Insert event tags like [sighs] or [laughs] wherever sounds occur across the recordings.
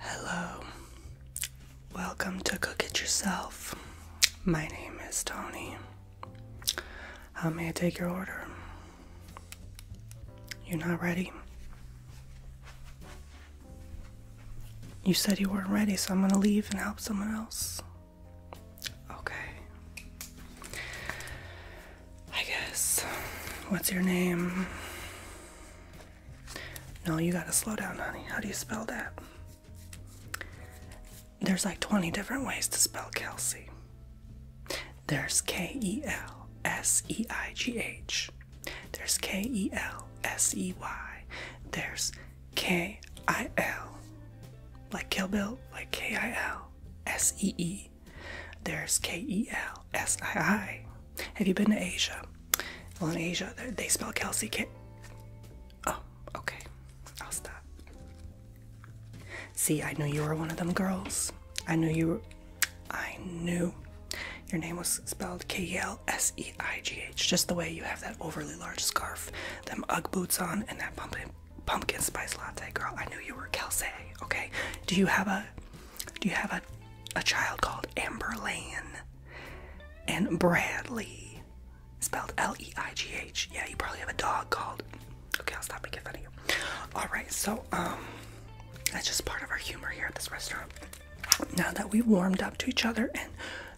Hello, welcome to Cook It Yourself. My name is Tony. may I take your order? You're not ready? You said you weren't ready, so I'm gonna leave and help someone else. Okay. I guess. What's your name? No, you gotta slow down, honey. How do you spell that? There's like 20 different ways to spell Kelsey. There's K E L S E I G H. There's K E L S E Y. There's K I L. Like Kill Bill, like K I L S E E. There's K E L S I I. Have you been to Asia? Well, in Asia, they spell Kelsey Kit. Oh, okay. I'll stop. See, I knew you were one of them girls. I knew you were. I knew your name was spelled K L S E I G H, just the way you have that overly large scarf, them Ugg boots on, and that pumpkin pumpkin spice latte. Girl, I knew you were Kelsey. Okay, do you have a do you have a a child called Amberlane and Bradley, spelled L E I G H? Yeah, you probably have a dog called. Okay, I'll stop making fun of you. All right, so um, that's just part of our humor here at this restaurant. Now that we've warmed up to each other and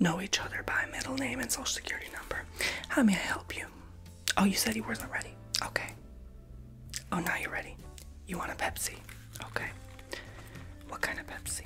know each other by middle name and social security number, how may I help you? Oh, you said you wasn't ready. Okay. Oh, now you're ready. You want a Pepsi? Okay. What kind of Pepsi?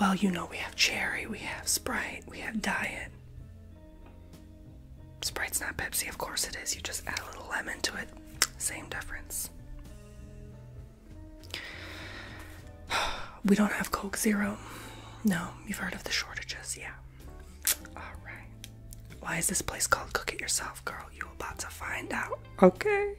Well, you know, we have cherry, we have Sprite, we have Diet. Sprite's not Pepsi, of course it is. You just add a little lemon to it. Same difference. [sighs] We don't have Coke Zero. No, you've heard of the shortages, yeah. Alright. Why is this place called Cook It Yourself, girl? You about to find out. Okay.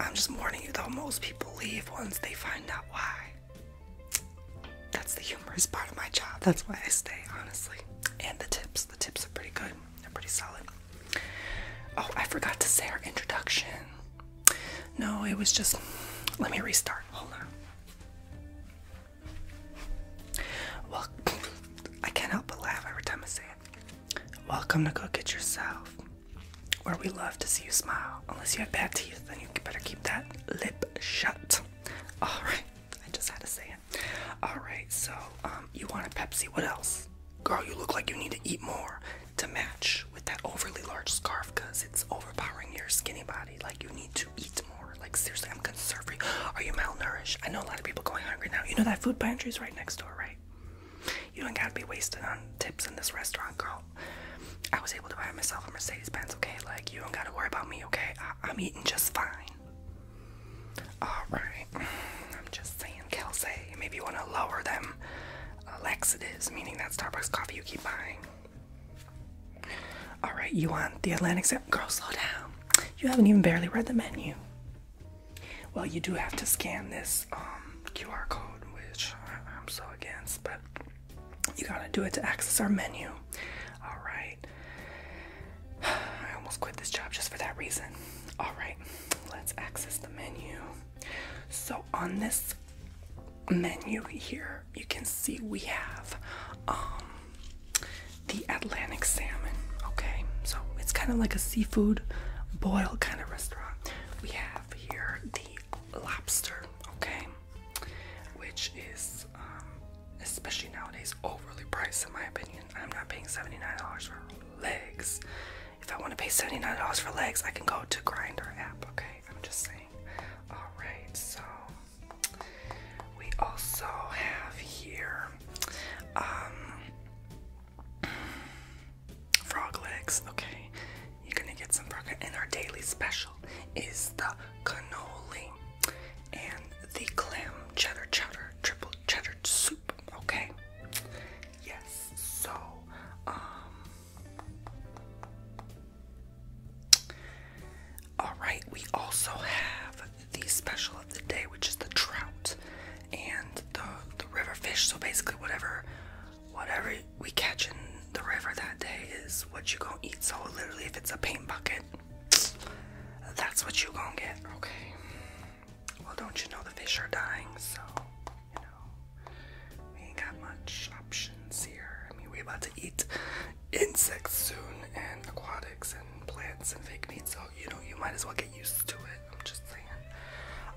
I'm just warning you though, most people leave once they find out why. That's the humorous part of my job. That's why I stay, honestly. And the tips. The tips are pretty good. They're pretty solid. Oh, I forgot to say our introduction. No, it was just. Let me restart. Hold on. Well, [laughs] I can't help but laugh every time I say it. Welcome to Cook It Yourself, where we love to see you smile. Unless you have bad teeth, then you better keep that lip shut. Alright. I just had to say it. Alright, so um, you want a Pepsi. What else? Girl, you look like you need to eat more to match with that overly large scarf because it's overpowering your skinny body. Like, you need to eat more. Like, seriously, I'm conserving. Are you malnourished? I know a lot of people going hungry now. You know that food pantry's right next door, right? You don't gotta be wasting on tips in this restaurant, girl. I was able to buy myself a Mercedes Benz, okay? Like, you don't gotta worry about me, okay? I'm eating just fine. Alright, I'm just saying, Kelsey, maybe you want to lower them uh, laxatives, meaning that Starbucks coffee you keep buying. Alright, you want the Atlantic Zip? Girl, slow down. You haven't even barely read the menu. Well, you do have to scan this um, QR code, which I'm so against, but you gotta do it to access our menu. Alright. [sighs] I almost quit this job just for that reason. All right, let's access the menu. So on this menu here, you can see we have um, the Atlantic salmon. Okay, so it's kind of like a seafood boil kind of restaurant. We have here the lobster. Okay, which is um, especially nowadays, overly priced in my opinion. I'm not paying $79 for legs. If I want to pay $79 for legs, I can go to Grinder app, okay? I'm just saying. Alright, so we also have here um frog legs, okay. You're gonna get some frog and our daily special is the cannoli. And the clam cheddar cheddar triple cheddar soup. Okay. Yes. So, um, all right. We also have the special of the day, which is the trout and the the river fish. So basically, whatever whatever we catch in the river that day is what you gonna eat. So literally, if it's a paint bucket that's what you gonna get, okay? Well, don't you know the fish are dying, so you know we ain't got much options here. I mean, we about to eat insects soon, and aquatics, and plants, and fake meat. So you know, you might as well get used to it. I'm just saying.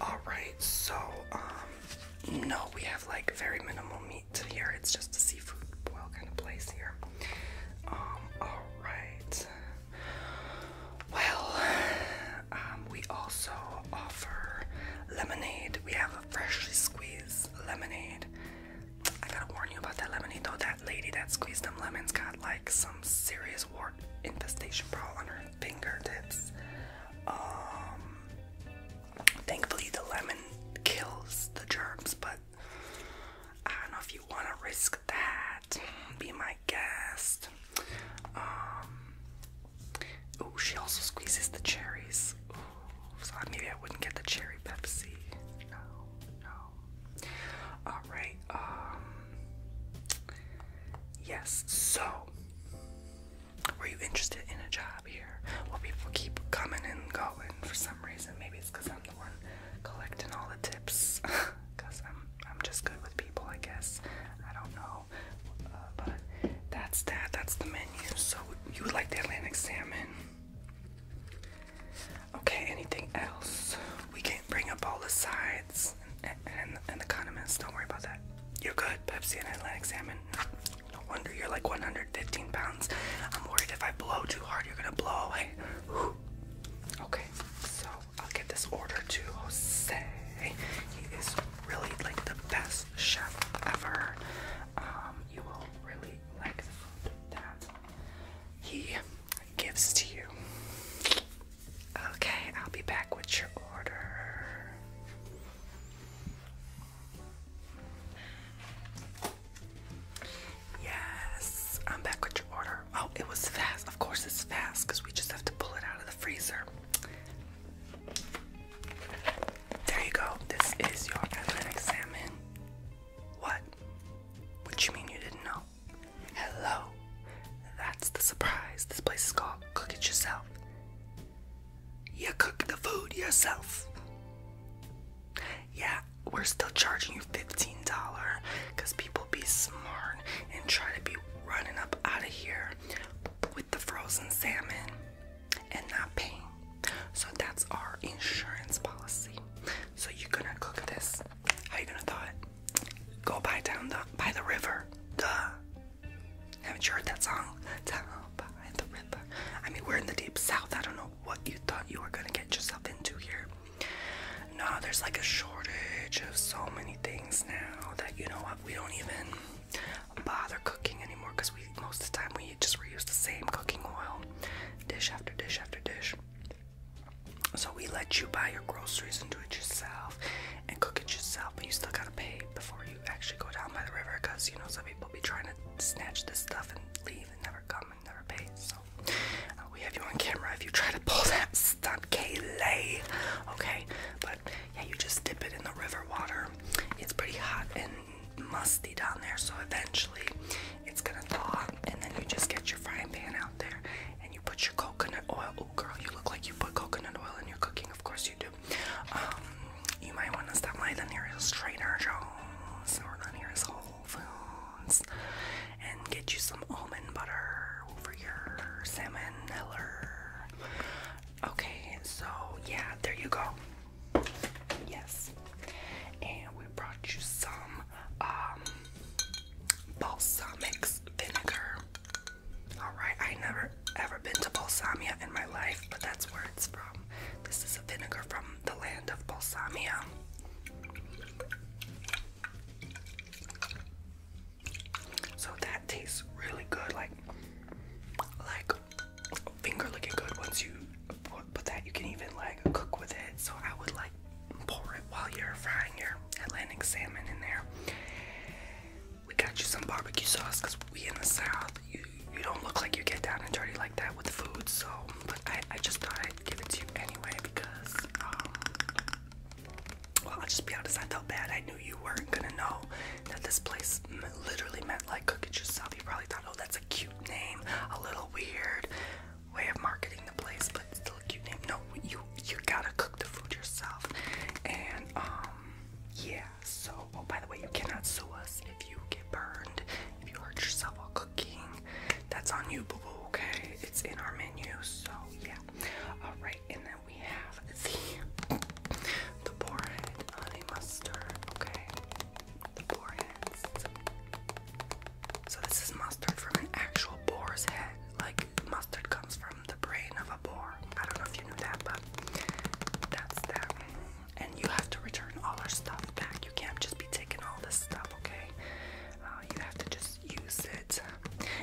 All right, so um, no, we have like very minimal meat meat here. It's just a seafood boil kind of place here. Um, all right. Well, um, we also offer lemonade. We have a freshly squeezed lemonade. I gotta warn you about that lemonade though. That lady that squeezed them lemons got like some serious wart infestation problem on her fingertips. Um, thankfully, the lemon kills the germs, but I don't know if you want to risk that. Be my guest. oh, she also squeezes the cherries. so maybe I wouldn't get the cherry Pepsi. No, no. All right. Um, yes. So, were you interested in a job? Well, people keep coming and going for some reason. Maybe it's because I'm the one collecting all the tips. Because [laughs] I'm, I'm just good with people, I guess. I don't know. Uh, but that's that. That's the menu. So you would like the Atlantic salmon. Okay, anything else? We can't bring up all the sides and, and, and the condiments. Don't worry about that. You're good. Pepsi and Atlantic salmon. No wonder you're like 115 pounds. I'm worried if I blow too hard, you're gonna blow away. Okay, so I'll get this order to Jose. He is really like the best chef ever. Um, you will really like that he gives to you. Okay, I'll be back with your order. Yes, I'm back with your order. Oh, it was fast. Of course, it's fast because we just have to pull it out of the freezer. There you go. This is your Atlantic salmon. What? What you mean you didn't know? Hello. That's the surprise. This place is called Cook It Yourself. You cook the food yourself. Yeah, we're still charging you $15 because people be smart and try to be running up out of here with the frozen salmon and not paying. So that's our insurance policy. So you're gonna cook this. How you gonna do it? Go by down the by the river. Duh. Haven't you heard that song? Down by the river. I mean, we're in the deep south. I don't know what you thought you were gonna get yourself into here. No, there's like a shortage of so many things now that you know what we don't even bother cooking anymore because we most of the time we just reuse the same cooking oil, dish after dish after dish. So we let you buy your groceries and do it yourself and cook it yourself, but you still gotta pay before you actually go down by the river because you know some people be trying to snatch this stuff and leave and never come and never pay. So uh, we have you on camera if you try to pull [laughs] that stunt, Kayleigh. Okay, but yeah, you just dip it in the river water. It's pretty hot and musty down there, so eventually it's gonna thaw, and then you just get your frying pan out there and you put your coconut oil. Oh, girl, you look like you put coconut oil in your cooking. Of course you do. Um, you might want to stop by the nearest Trader Joe's or the nearest Whole Foods and get you some almond butter over your salmon heller. Okay, so yeah, there you go. Yes. And we brought you some um, balsamic vinegar. Alright, I never ever been to Balsamia in my life, but that's where it's from. This is a vinegar from the land of Balsamia. So that tastes really good, like like finger looking good. Once you put, put that, you can even like cook with it. So I would like pour it while you're frying your Atlantic salmon in there we got you some barbecue sauce because we in the south you you don't look like you get down and dirty like that with food so I, I just thought I'd give it to you anyway because um, well I'll just be honest I felt bad I knew you weren't gonna know that this place literally meant like cook it yourself you probably thought oh that's a cute name a little weird way of marketing the place but still a cute name no you you gotta cook the food yourself and um yeah, so, oh, by the way, you cannot sue us if you get burned, if you hurt yourself while cooking. That's on you, boo boo, okay? It's in our menu, so yeah. Alright, and then we have the, the head honey mustard, okay? The boar head. So, this is mustard from an actual boar's head like mustard comes from the brain of a boar. I don't know if you knew that, but that's that. And you have to return all our stuff back. You can't just be taking all this stuff, okay? Uh, you have to just use it.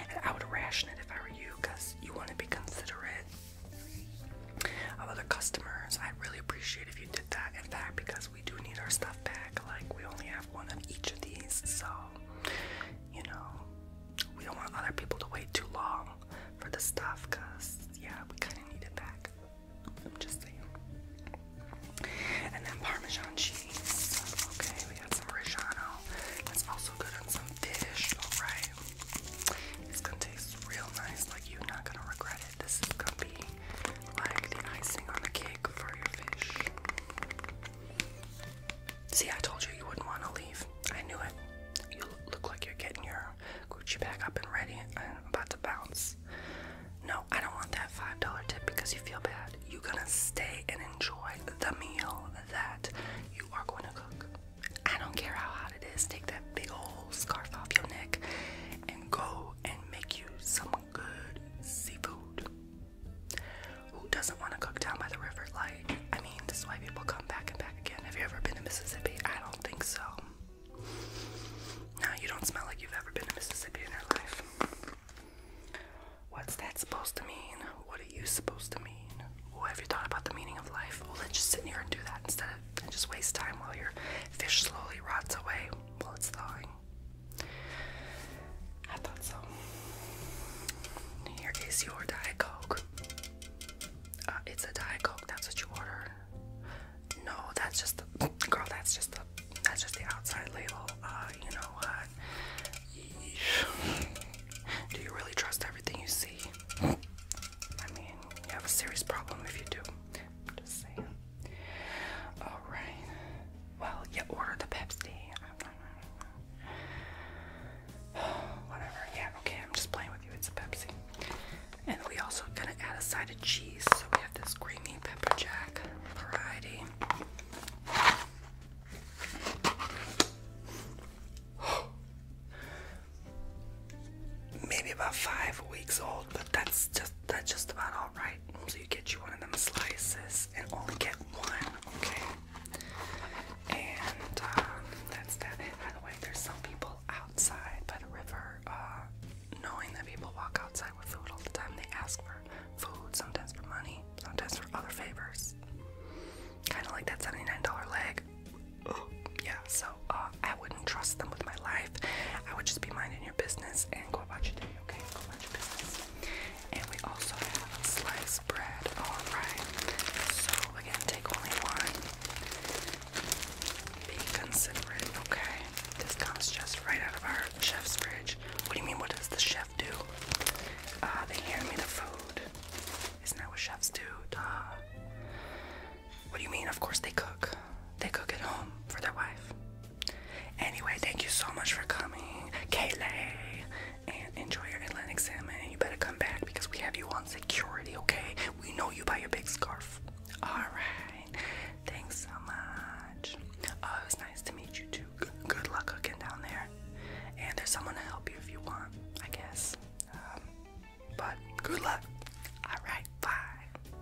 And I would ration it if I were you, because you want to be considerate of other customers. I really appreciate if you did that. In fact, because we do need our stuff back. Like we only have one of each of these, so you know, we don't want other people to wait too long for the stuff because, yeah, we kind of need it back. I'm just saying. And then Parmesan cheese. Okay, we got some Reggiano. That's also good on some fish. Alright. It's gonna taste real nice. Like, you're not gonna regret it. This is gonna be like the icing on the cake for your fish. See, I told you you wouldn't want to leave. I knew it. You look like you're getting your Gucci back up and ready and about to bounce. No, I don't want that $5 tip because you feel bad. You're gonna stay and enjoy the meal that you are going to cook. I don't care how hot it is. Take that big old scarf off your neck and go and make you some good seafood. Who doesn't want to cook down by the river? Like, I mean, this is why people come back and back again. Have you ever been to Mississippi? I don't think so. No, you don't smell like you've ever been to Mississippi in your life. What's that supposed to mean? What are you supposed to mean? Well, have you thought about the meaning of life? Well, let's just sit here and do that instead of and just waste time while your fish slowly rots away while it's thawing. I thought so. Here is your Diet Coke. Uh, it's a Diet Coke. That's what you ordered. No, that's just the girl. That's just the that's just the outside label. Uh, you know what? Do you really trust everything you see? I mean, you have a serious problem if you do. Just saying. All right. Well, you ordered the Pepsi. [sighs] Whatever. Yeah, okay, I'm just playing with you. It's a Pepsi. And we also gonna add a side of cheese. So we have this creamy pepper jack variety. [gasps] Maybe about five weeks old, but that's just that's just about all right. So you get you one of them slices and only get one, okay? And uh, that's that. By the way, there's some people outside by the river, uh, knowing that people walk outside with food all the time, they ask for food, sometimes for money, sometimes for other favors. Kind of like that $79 leg. Oh, yeah, so uh, I wouldn't trust them with my life. I would just be minding your business and go about your day okay, go business. And we also have sliced bread, alright. So again, take only one. Be considerate, okay? This comes just right out of our chef's fridge. What do you mean, what does the chef do? Uh, they hand me the food. Isn't that what chefs do? Duh. What do you mean? Of course they cook. They cook at home for their wife. Anyway, thank you so much for coming, Kayleigh, and enjoy your Atlantic salmon. And you better come back because we have you on security, okay? We know you by your big scarf. Alright, thanks so much. Oh, it was nice to meet you too. Good, luck cooking down there. And there's someone to help you if you want, I guess. Um, but good luck. Alright, bye.